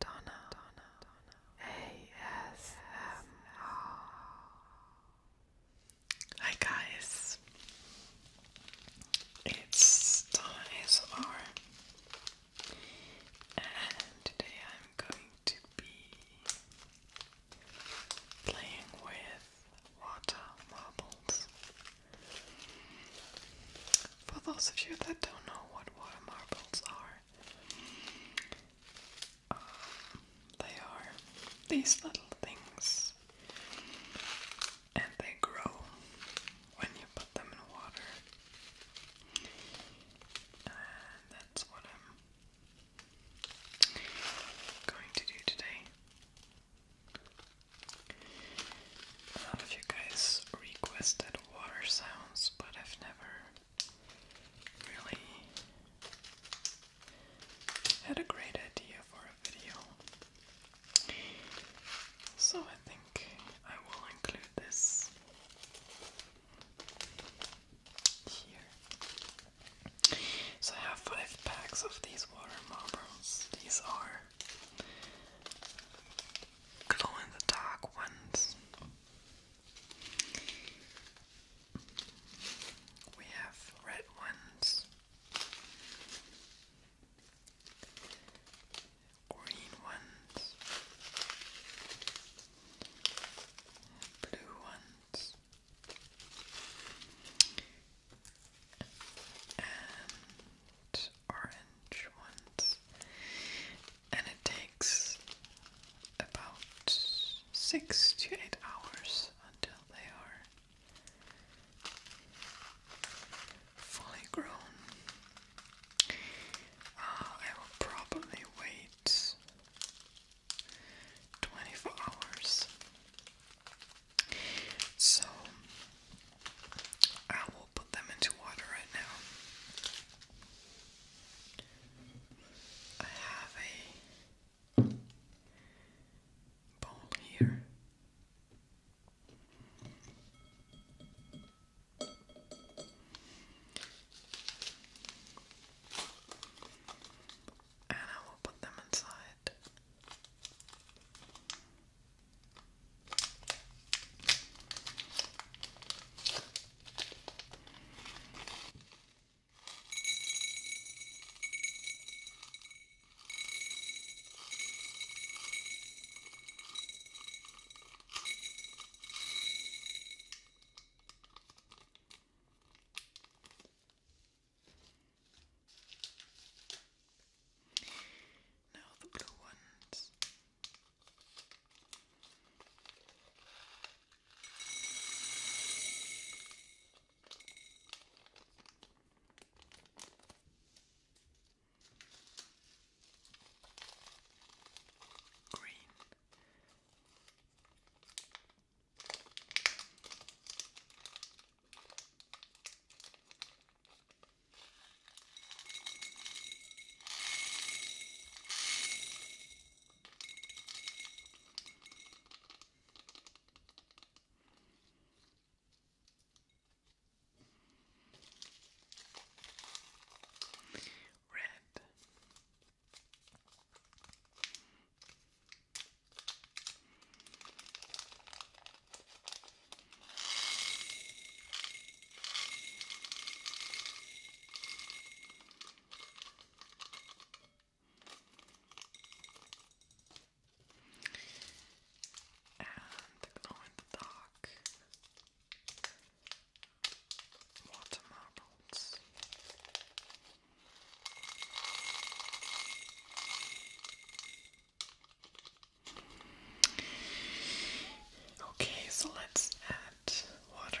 Donna, Donna, Donna. ASMR. Hi guys, it's Donna ASMR, and today I'm going to be playing with water marbles. For those of you that don't know what water marbles are, um, they are these little things, and they grow when you put them in water. And that's what I'm going to do today. A lot of you guys requested water sounds, but I've never really had a great idea for a video. So I think I will include this here. So I have five packs of these water marbles. These are glow in the dark ones. We have red ones, green ones, blue ones, and orange ones, and it takes about six to eight hours until they are fully grown. Uh, I will probably wait 24 hours. So I will put them into water right now. I have a bowl here. And I will put them inside. Now the blue ones Green. Red. And the glow in the dark water marbles. Okay, so let's add water.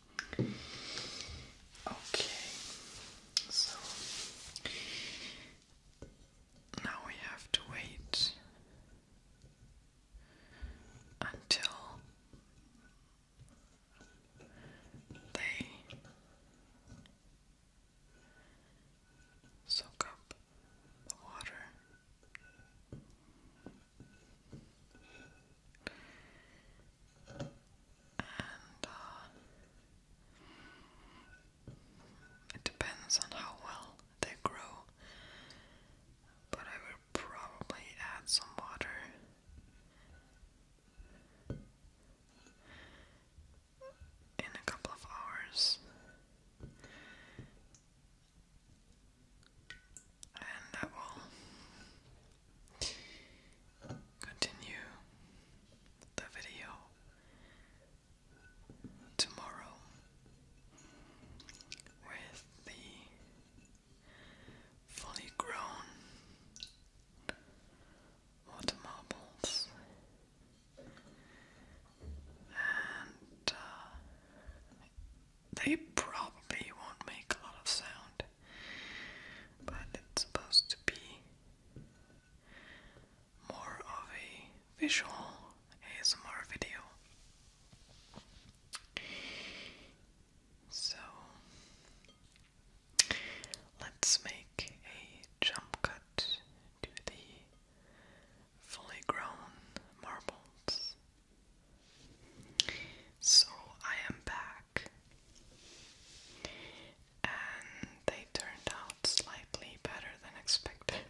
Okay, so now we have to wait until they soak up the water. Uh, it depends on how well they grow, but I will probably add some water. In a couple of hours, and that will continue the video tomorrow with the fully grown water marbles and uh, they probably won't make a lot of sound, but it's supposed to be more of a visual ASMR video. So let's make a jump cut to the fully grown marbles. So I am back, and they turned out slightly better than expected.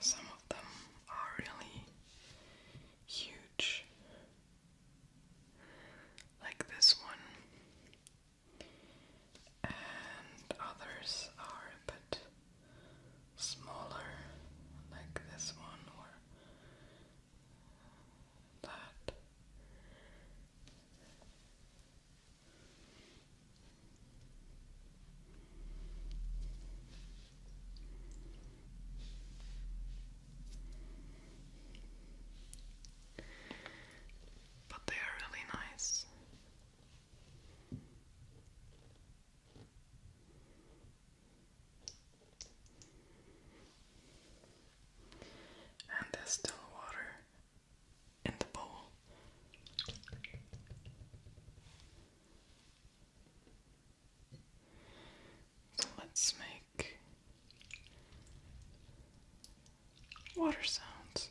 Some of them are really huge, like this one, and others are a bit smaller, like this one or that. But they are really nice. And there's still water in the bowl. So let's make water sounds.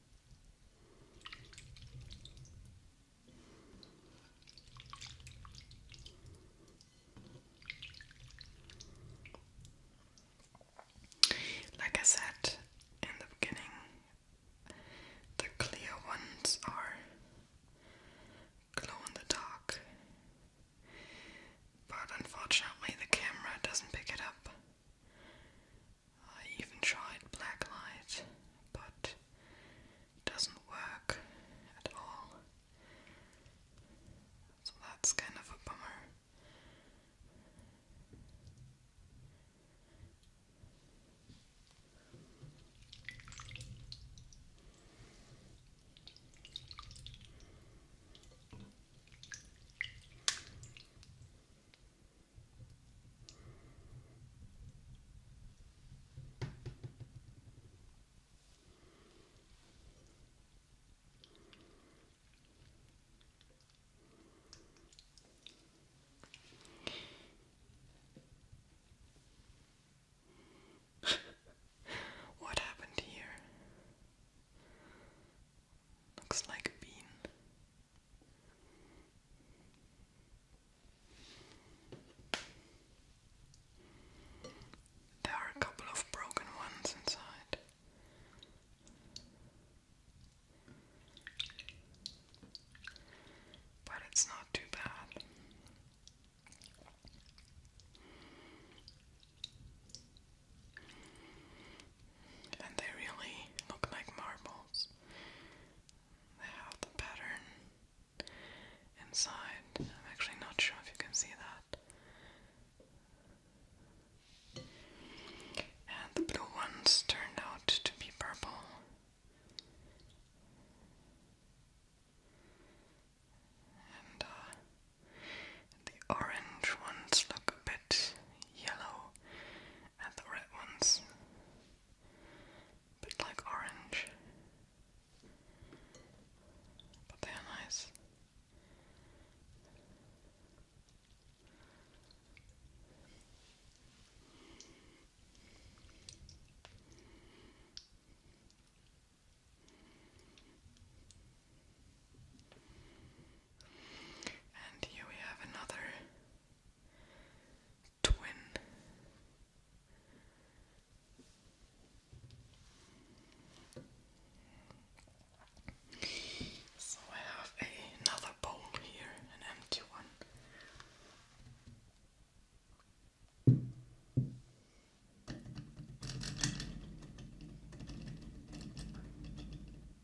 Like I said in the beginning, the clear ones are glow in the dark, but unfortunately, the camera doesn't pick it up. I even tried black light, but it doesn't work at all. So that's kind of a bummer what happened here? Looks like a bean. There are a couple of broken ones inside. But it's not too bad and they really look like marbles. They have the pattern inside. I'm actually not sure if you can see that. And the blue ones turned out to be purple. And uh, the orange ones look a bit yellow and the red ones a bit like orange but they are nice and here we have another twin. So I have another bowl here, an empty one.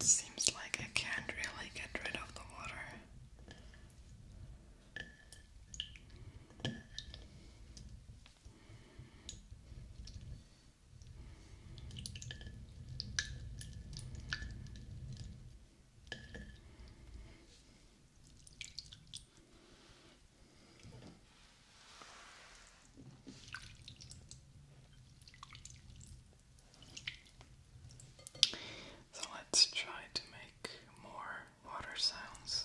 Seems like I can't really get rid of the water. So let's try to make more water sounds.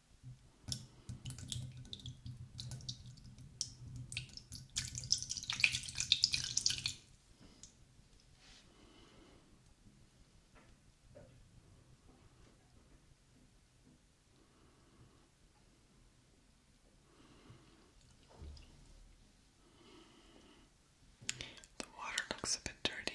The water looks a bit dirty.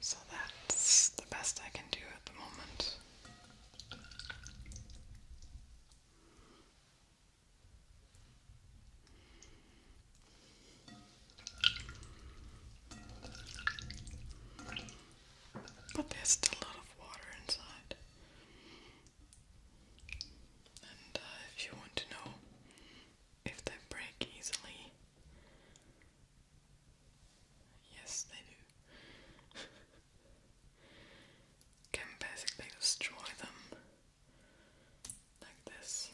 So that's the best I can do at the moment. But there's still a lot of water inside. And uh, if you want to know if they break easily, Yes, they do. Can basically destroy them like this.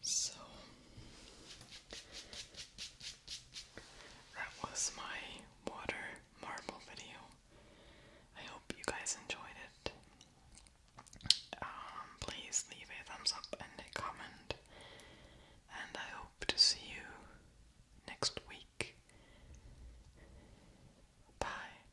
So that was my water marble video. I hope you guys enjoyed it. Um, please leave a thumbs up and a comment, and I hope to see you next week. Bye.